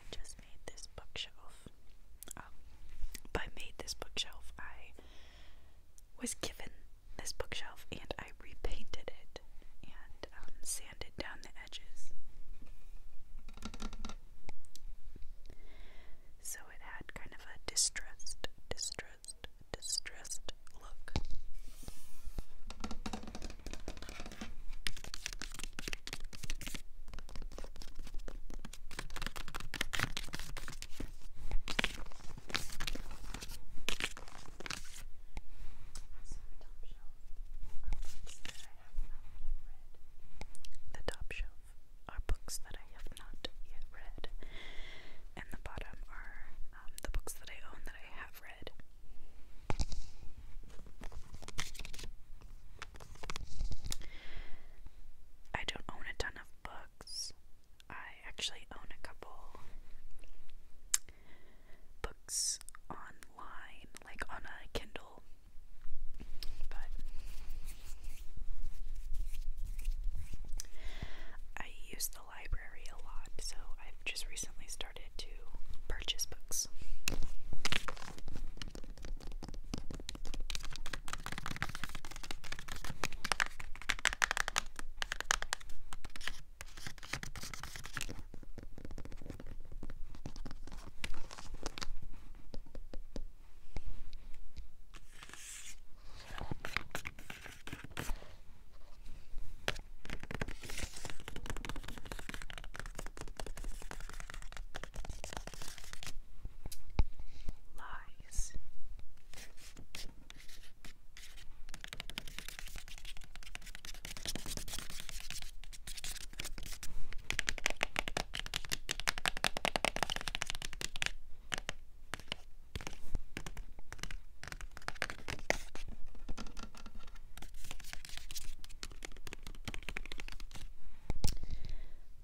I just made this bookshelf. Um, by made this bookshelf, I was given this bookshelf and I repainted it and um, sanded down the edges. So it had kind of a distressed, distressed, distressed look. The top shelf are books that I have not yet read, and the bottom are um, the books that I own that I have read. I don't own a ton of books. I actually own a couple books online, like on a Kindle. But I use the library a lot, so I've just recently started to purchase books. Lies.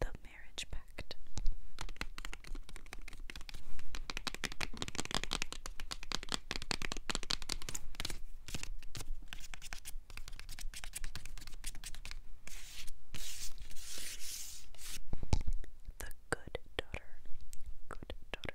The Marriage Pact. The Good Daughter. Good Daughter.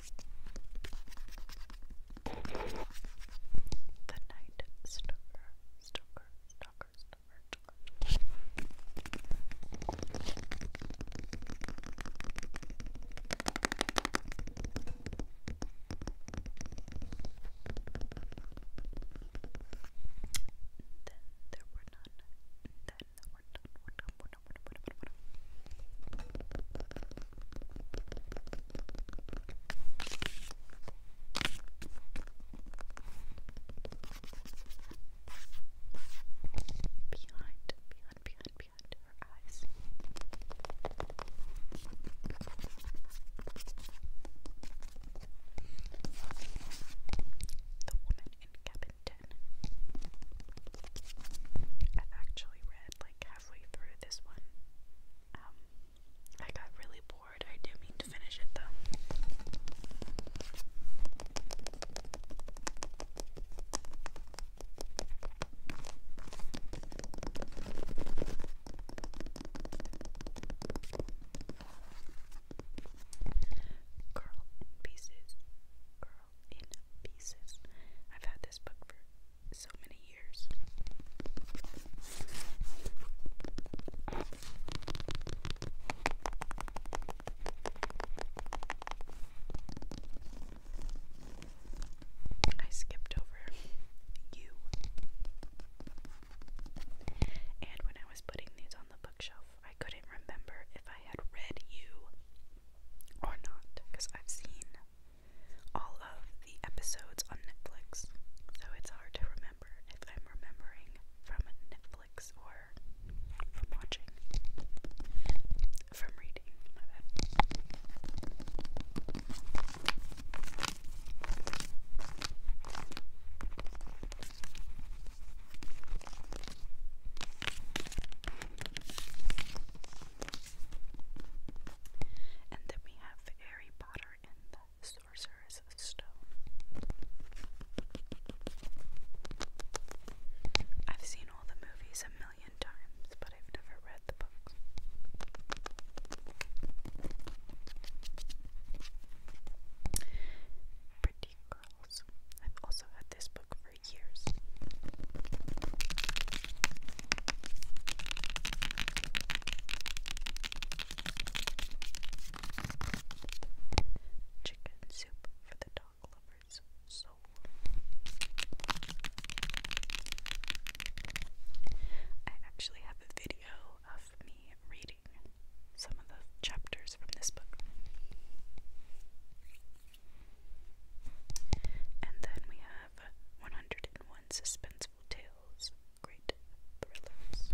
The Night Stalker, Stalker, Stalker, Stalker, Stalker. Then there were none. Then there were none. Behind, behind, behind, behind her eyes. The woman in cabin 10. I've actually read like halfway through this one. Um, I got really bored. I do mean to finish it though. Girl in pieces. Girl in pieces. I've had this book for so many years. I skipped over you. And when I was putting these on the bookshelf, I couldn't remember if I had read you or not because I've seen all of the episodes on Netflix, so it's hard to remember if I'm remembering from Netflix or from watching, from reading. My bad. And then we have Harry Potter and the Sorcerer's Stone. I've seen all the movies a million times, but I've never read the books. Pretty Girls. I've also had this book for Chicken soup for the dog lover's soul. I actually have a video of me reading some of the chapters from this book. And then we have 101 Suspenseful Tales, Great Thrillers.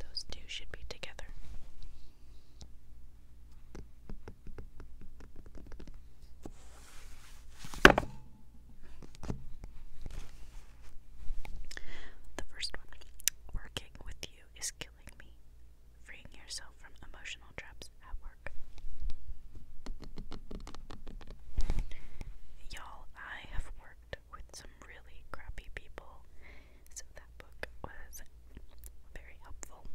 Those two should be together. The first one working with you is killing me, freeing yourself from emotional traps at work. Y'all, I have worked with some really crappy people, so that book was very helpful.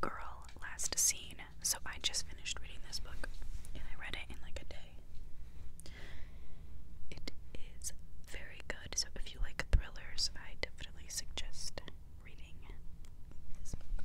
Girl, last scene. So I just finished reading this book and I read it in like a day. It is very good. So if you like thrillers, I definitely suggest reading this book.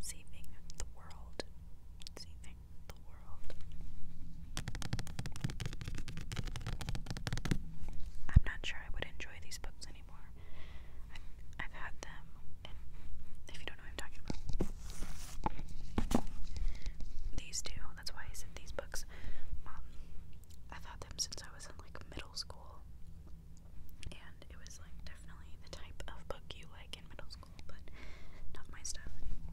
Saving the world. Saving the world. I'm not sure I would enjoy these books I've, had them, if you don't know I'm talking about, these two, that's why I said these books. Um, I've had them since I was in like middle school, and it was like definitely the type of book you like in middle school, but not my style anymore.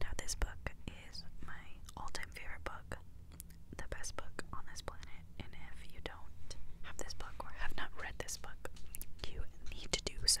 Now, this book is my all time favorite book, the best book on this planet. And if you don't have this book or have not read this book, you need to do so.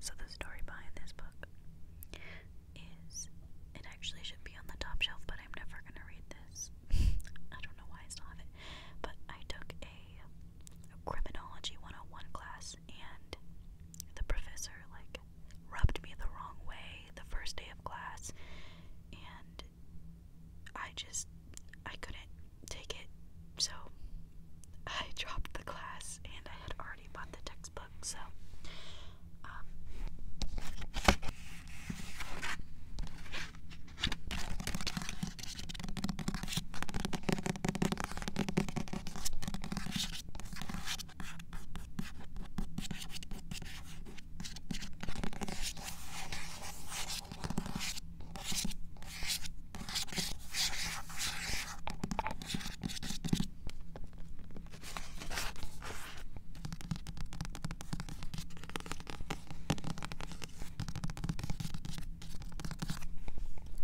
So, the story behind this book is it actually should be on the top shelf, but I'm never going to read this. I don't know why I still But I took a, a criminology 101 class, and the professor, like, rubbed me the wrong way the first day of class, and I just I couldn't take it, so I dropped the class and I had already bought the textbook, so um,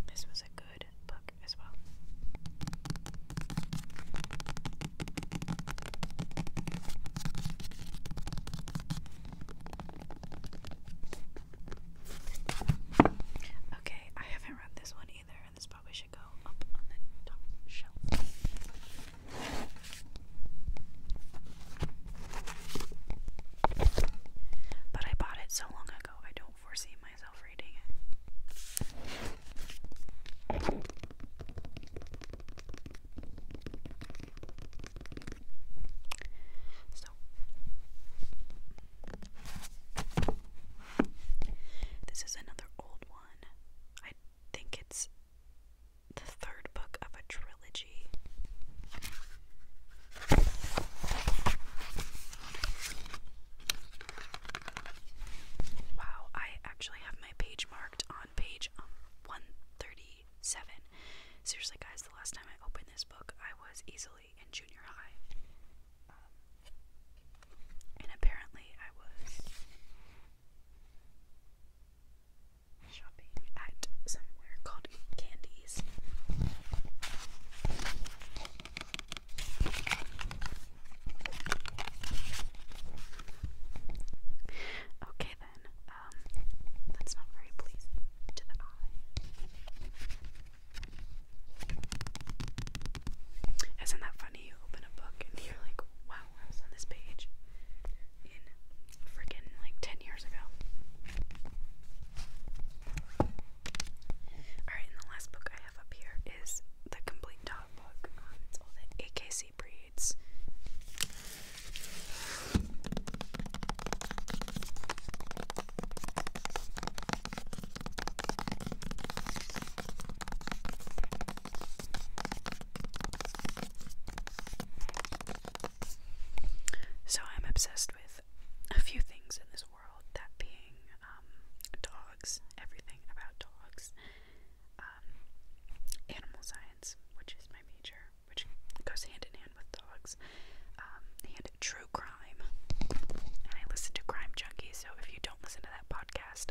this was a good book as well. Okay, I haven't read this one either, and this probably should go up on the top shelf. But I bought it so long ago, I don't foresee myself reading it. So this is another old one. I think it's the third book of a trilogy. Wow, I actually have my page marked on page um, 130 1987. Seriously, guys, the last time I opened this book, I was easily in junior high. Um, and apparently, I was shopping at somewhere called Candies. Okay, then um, that's not very pleasing to the eye. Isn't that funny? You open a book and you're like, wow, I was on this page in freaking like 10 years ago. Alright, and the last book I have up here is the Complete Dog book. Um, it's all the AKC breed. So I'm obsessed with a few things in this world, that being um, dogs, everything about dogs, um, animal science which is my major, which goes hand in hand with dogs, um, and true crime. And I listen to Crime Junkies, so if you don't listen to that podcast,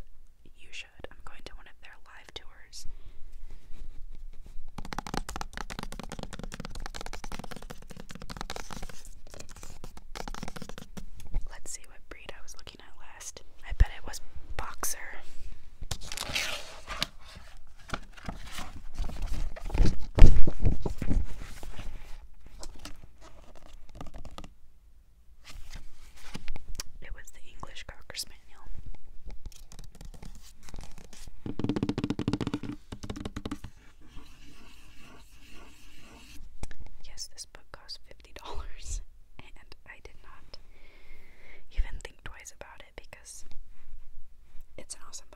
you should. I'm going to one of their live tours. Let's see what breed I was looking at I bet it was Boxer. It was the English Cocker Spaniel. Yes, this book cost $50, and I did not even twice about it because it's an awesome book.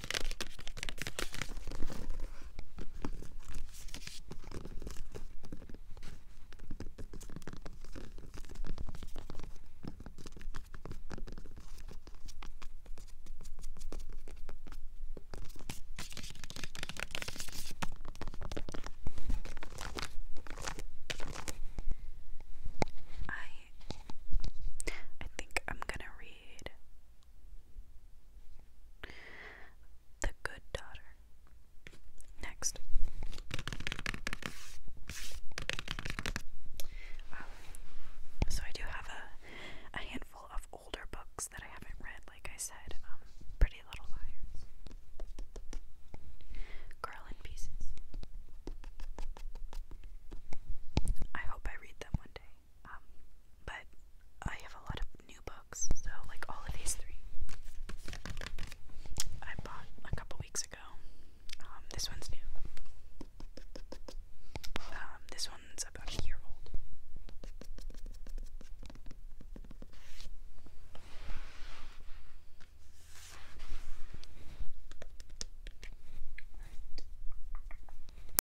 I I think I'm gonna read the Good Daughter. Next. Um, so I do have a, a handful of older books that I haven't read, like I said. Um, Pretty Little Liars. Girl in Pieces. I hope I read them one day. Um, but I have a lot of new books, so like all of these three I bought a couple weeks ago. Um, this one's new. Um, this one's about a year old.